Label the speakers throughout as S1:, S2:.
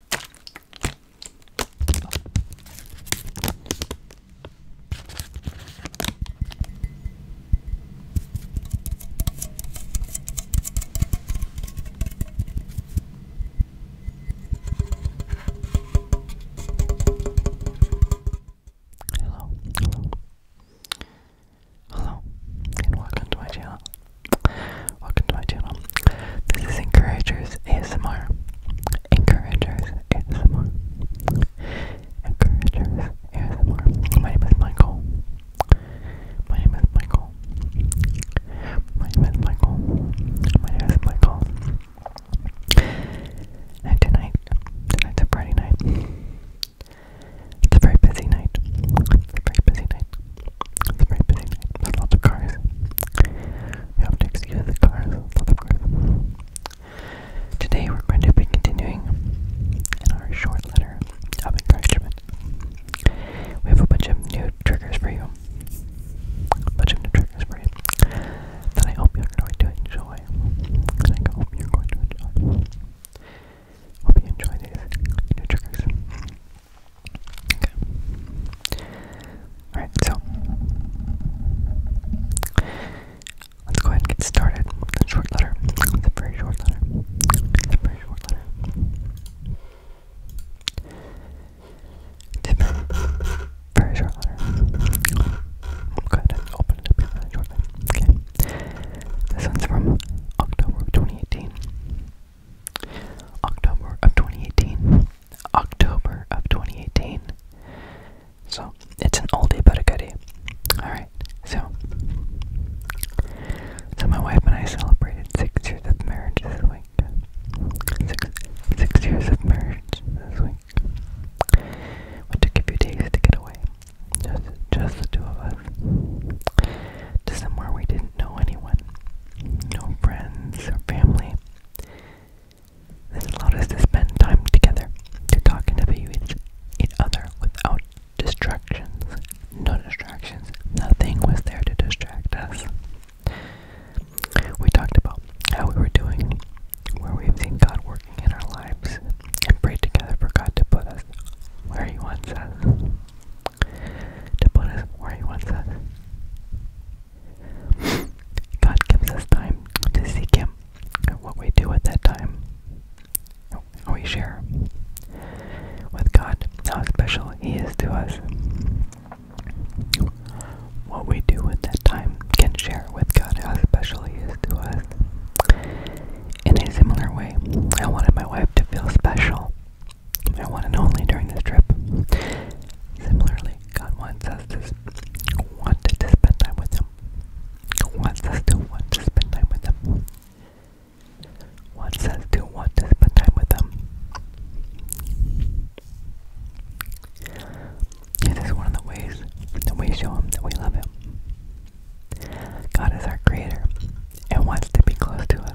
S1: Hello, hello, hello, and welcome to my channel. Welcome to my channel. This is Encouragers ASMR. Encouragers ASMR. Encouragers ASMR. My name is Michael. My name is Michael. My name is Michael. My name is Michael. And tonight, tonight's a Friday night. It's a very busy night. It's a very busy night night. lots of cars. You Today we're going to be continuing our short letter of encouragement. We have a bunch of new triggers for you. A bunch of new triggers for you. That I hope you're going to enjoy. And I hope you're going to enjoy. Hope you enjoy these new triggers. Okay. Alright, so let's go ahead and get started the short letter. It's very short letter. It's very short letter. Tip. Very short letter. Go ahead and open it up shortly. Okay. This one's from October 2018. October of 2018. October of 2018. So it's an oldie but a day. Alright, so. So my wife and I celebrated six years of marriage this week. Six, six years of marriage this week. We took a few days to get away. Just, just the two of us. To somewhere we didn't know anyone no friends or family. This allowed us to spend time together, to talk and to view each other without distractions. No distractions. Nothing was there to distract us. We talked about how we were doing, where we've seen God working in our lives, and prayed together for God to put us where He wants us to put us where He wants us. God gives us time to seek Him. What we do at that time, how we share with God, how special He is to us. What we do at that time can share with God how special He is to us. In a similar way, I wanted my wife to feel special their one and only during this trip. Similarly, God wants us to want to spend time with Him. Wants us to want to spend time with Him. Wants us to want to spend time with Him. This is one of the ways that we show Him that we love Him. God is our Creator and wants to be close to us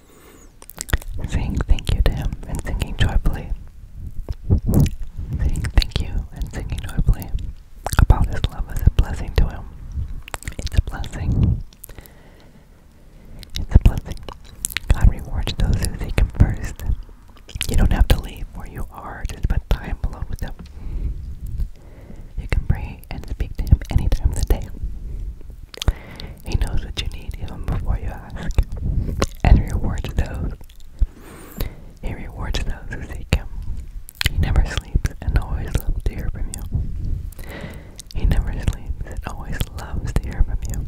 S1: saying thank you to him and singing joyfully. Saying thank you and singing joyfully about his love is a blessing to him. It's a blessing. It's a blessing. God rewards those who seek him first. You don't have to leave where you are to spend time alone with him. You can pray and speak to him any time of the day. He knows what you need even before you ask, and rewards those. He rewards those who seek him. He never sleeps and always loves to hear from you. He never sleeps and always loves to hear from you.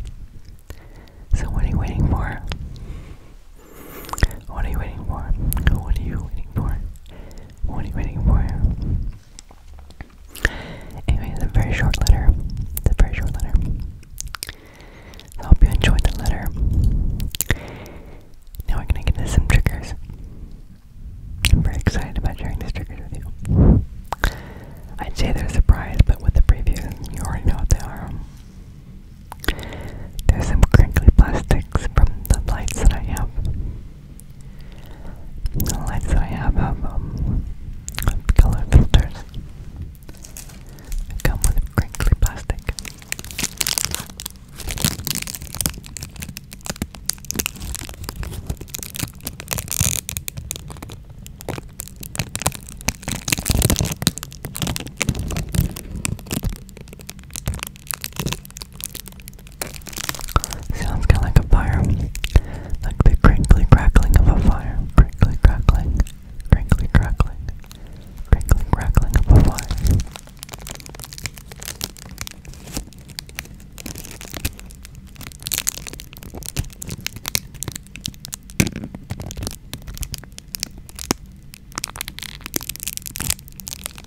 S1: So what are you waiting for? What are you waiting for? What are you waiting for? What are you waiting for? Anyway, it's a very short letter. It's a very short letter. I hope you enjoyed the letter. Now we're gonna get into some triggers. I'm very excited about sharing these triggers with you. I'd say they're a surprise, but with the preview, you already know what they are. There's some crinkly plastics from the lights that I have. Like so I have um, um color filters. They come with crinkly plastic. Sounds kind of like a fire. Like the crinkly crackling of a fire. Crinkly crackling. Crinkly crackling. Crinkly crackling of a fire.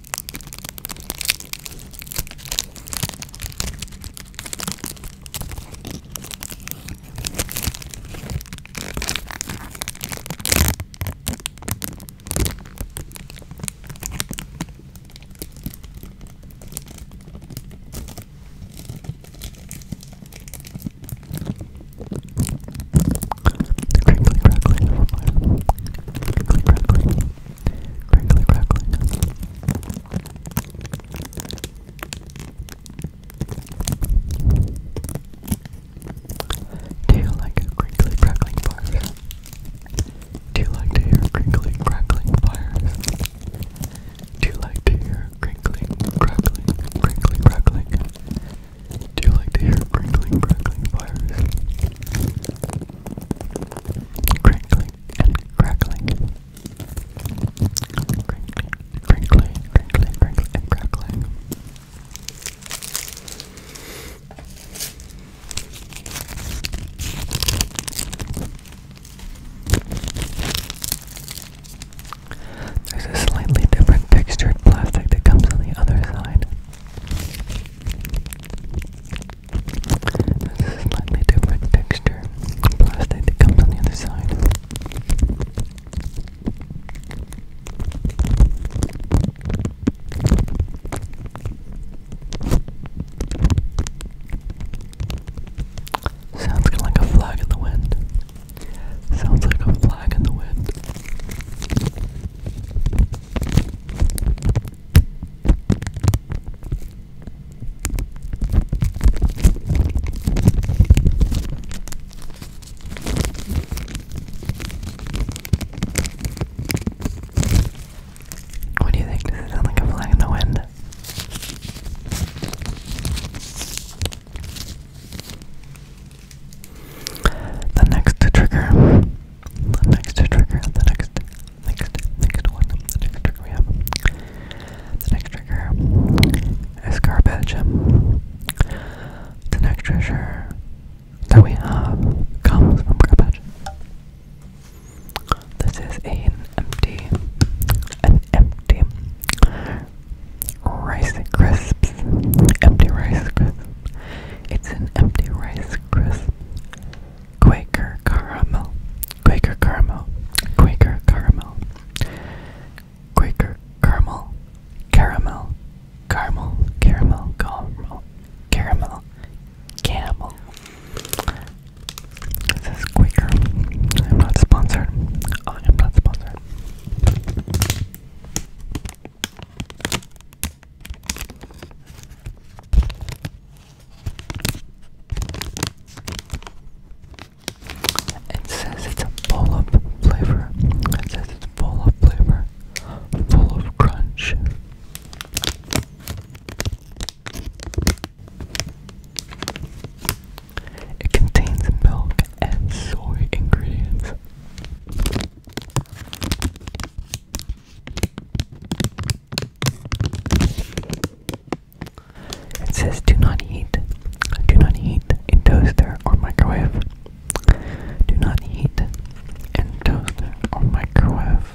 S1: Crinkly, crackling, crinkly, crackling, crinkly crackling. Do you like crinkly crackling fires? Do you like to hear crinkly crackling fires? Do you like to hear crinkling crackling crinkly crackling? Do you like to hear crinkling crackling fires? Crinkling and crackling. Crinkly, crinkly, crinkly, crinkly, and crackling. There's a slightly different textured plastic that comes on the other side. This is a slightly different texture plastic that comes on the other side. Sounds kind of like a flag in the wind. Sounds like a flag in the wind. What do you think? Does it sound like a flag in the wind? The next trigger the next trigger, the next, next, next one, the next trigger we have, the next trigger is garbage. The next treasure that we have comes from garbage. This is an empty, an empty rice crisps, empty rice crisps. It's an empty rice crisp. Quaker caramel, Quaker caramel, Quaker caramel, Quaker caramel, caramel, caramel, caramel, caramel, caramel, camel. This is Quaker. I'm not sponsored. Oh, I am not sponsored. It says it's full of flavor. It says it's full of flavor, full of crunch. It contains milk and soy ingredients. It says do not heat. Do not heat in toaster or microwave. Do not heat in toaster or microwave.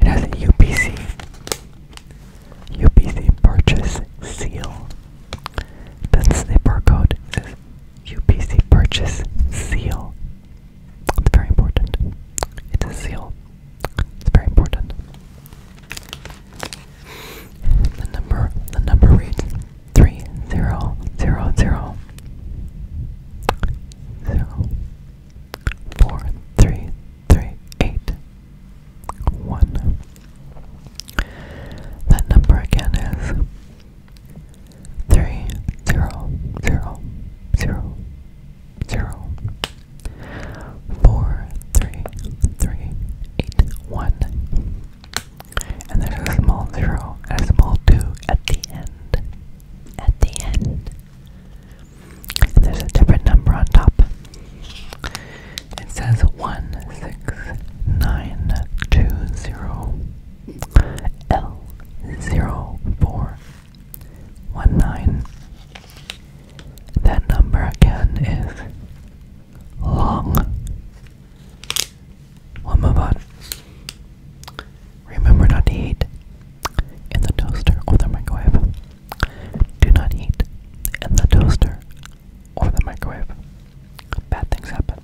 S1: It has a UPC. UPC purchase seal. That's the barcode. It says UPC purchase seal. It's very important. It's a seal. It's very important. The number the number reads three zero zero zero zero four three three, eight, one. That number again is three, zero, zero, zero, zero, four, three, three, eight, one. And there's a small zero and a small two at the end. At the end. And there's a different number on top. It says 16920 L zero four one nine. That number again is long. Womabot. Remember not to eat in the toaster or the microwave. Do not eat in the toaster or the microwave. Bad things happen.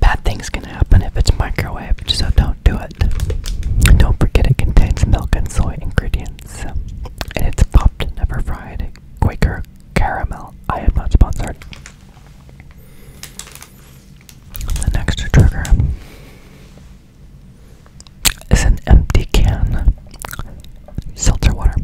S1: Bad things can happen if it's microwaved, so don't do it. don't forget it contains milk and soy ingredients. And it's popped, never fried. Quaker caramel. I am not sponsored. The next trigger is an empty can seltzer water.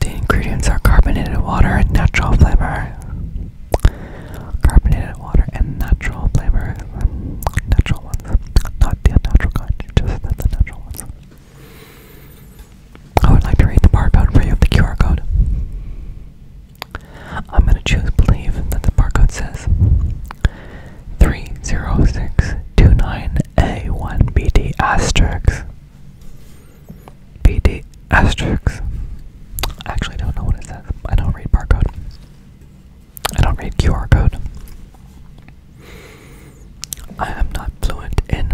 S1: The ingredients are carbonated water and natural flavor. Carbonated water and natural flavor. Natural not the unnatural kind, just the, the natural ones. I would like to read the barcode for you of the QR code. I'm going to choose believe that the barcode says 30629A1BD asterisk. BD asterisk. I actually don't know what it says. I don't read barcode. I don't read QR code. I am not fluent in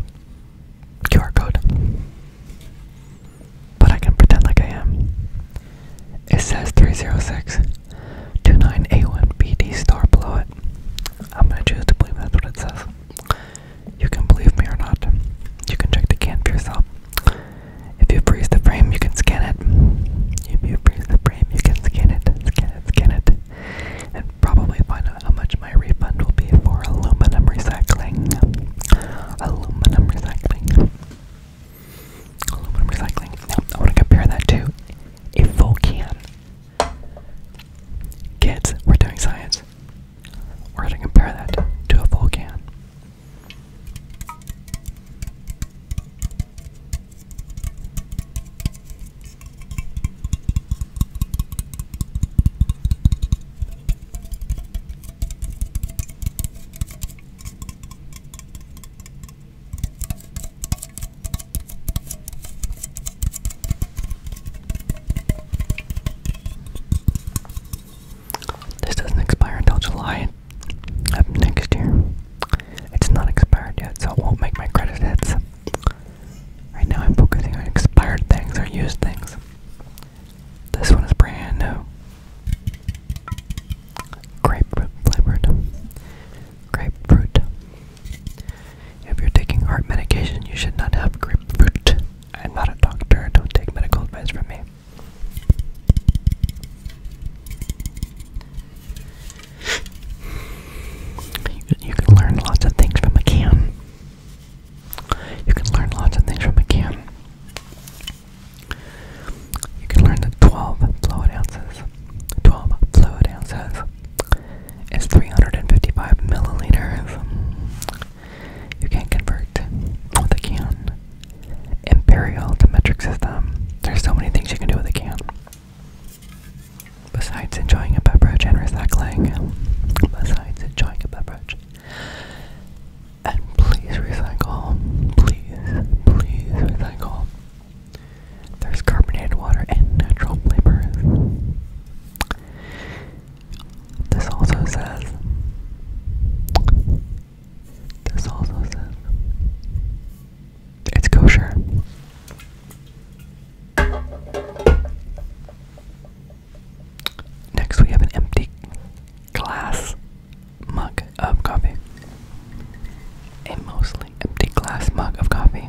S1: QR code. But I can pretend like I am. It says 306 29A1BD star below it. I'm gonna choose to believe that's what it says. You can believe me or not. You can check the can for yourself. If you freeze the frame, you can scan it. If you freeze the you can scan it, scan it, scan it, and probably find out how much my refund will be for aluminum recycling. Aluminum recycling. Aluminum recycling. Now, I want to compare that to a full can. Kids, we're doing science. We're going to compare that to a full can. This doesn't expire until July, up next year. It's not expired yet, so it won't make my credit hits. Right now I'm focusing on expired things or used things. This one is brand new. Grapefruit flavored. Grapefruit. If you're taking heart medication, you should not have grapefruit. I'm not a doctor, don't take medical advice from me. You can learn lots of things from a can. You can learn lots of things from a can. You can learn that 12 fluid ounces, 12 fluid ounces is 355 milliliters. You can convert with a can imperial to metric system. There's so many things you can do with a can. Besides enjoying a beverage and recycling, besides enjoying a beverage, and please recycle, please, please recycle. There's carbonated water and natural flavors. This also says this also says it's kosher. Next, we have an empty glass mug of coffee. A mostly empty glass mug of coffee.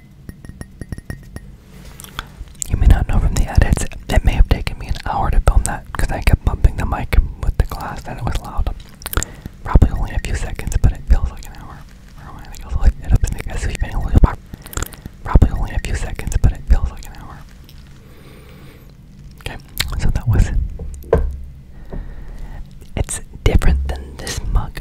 S1: You may not know from the edits, it may have taken me an hour to film that because I kept bumping the mic with the glass and it was loud. Probably only a few seconds, but it feels like an hour. Probably only a few seconds, but it feels like an hour. Okay, so that was It's different than this mug.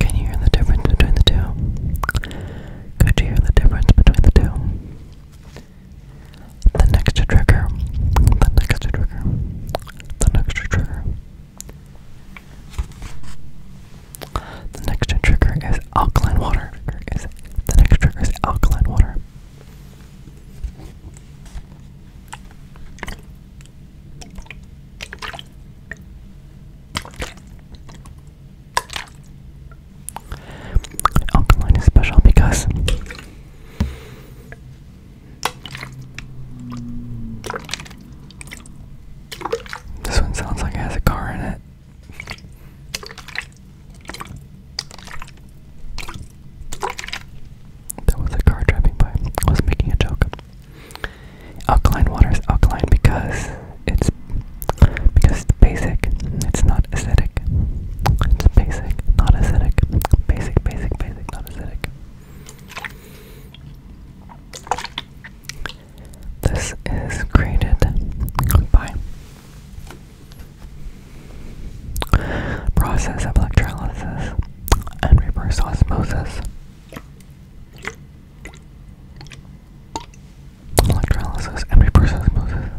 S1: Can you hear the difference between the two? Could you hear the difference between the two? The next trigger. The next trigger. The next trigger. The next trigger is alkaline water. the next trigger is alkaline water. Alkaline is special because this one sounds like it has a car in it. That was a car driving by. I was making a joke. Alkaline water is alkaline because it's because it's basic. It's not acidic. It's basic, not acidic. Basic, basic, basic, not acidic. This is created by process of electrolysis and reverse osmosis. Electrolysis and reverse osmosis.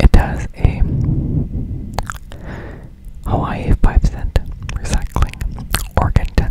S1: It has a Hawaii 5 cent recycling organ 10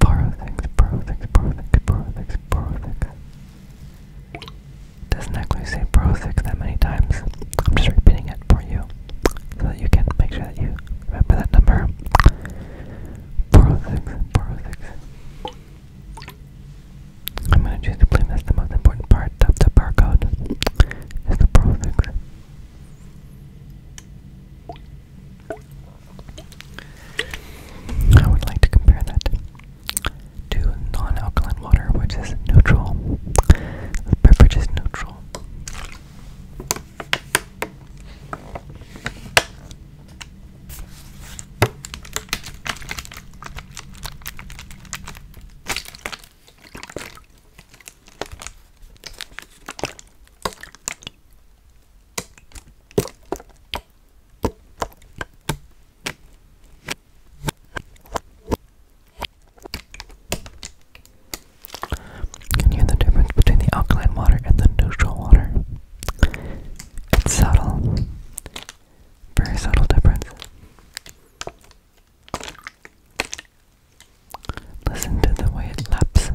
S1: Borrow Doesn't actually say borrow that many times. I'm just repeating it for you so that you can make sure that you remember that number. Borrow I'm going to choose to believe that's the most important part of the barcode is the borrow I would like to compare that to non-alkaline water, which is neutral. The beverage is neutral. Can you hear the difference between the alkaline water and the neutral water? It's subtle, very subtle difference. Listen to the way laps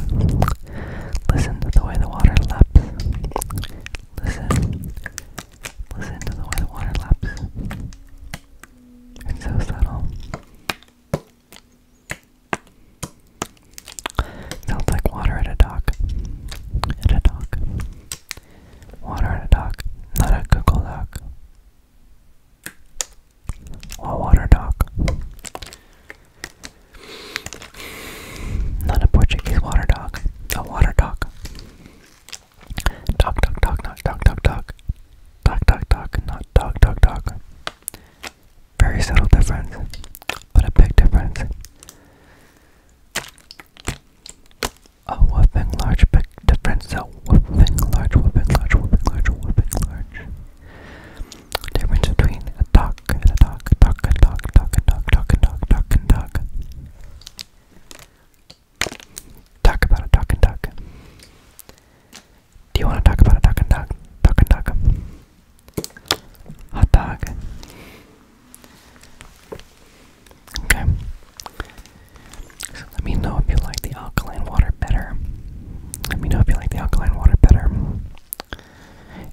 S1: Listen to the way the water laps. Listen. Listen to the way the water laps. It's so subtle. Sounds like water at a dock. At a dock. Water at a dock. Not a Google Doc. A water dock. Not a Portuguese water dog. The water dog. Dog, dog, dog, not dog, dog, dog. Dog, dog, dog, not dog, dog, dog. Very subtle difference, but a big difference. A whooping large big difference. A whooping large, whooping large, whooping large, whooping large difference between a duck and a duck, duck and duck, duck and duck, duck and duck, duck and duck. Talk about a duck and duck. Do you want to talk about a duck and duck? Duck and duck. Hot dog. Okay. So let me know if you like the alkaline water better. Let me know if you like the alkaline water better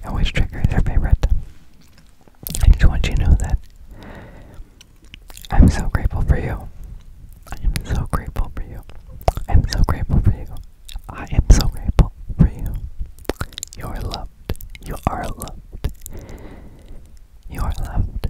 S1: and which trigger is their favorite. I just want you to know that I'm so grateful for you. I am so grateful for you. I am so grateful for you. I am so grateful for you. You are loved. You are loved. You are loved.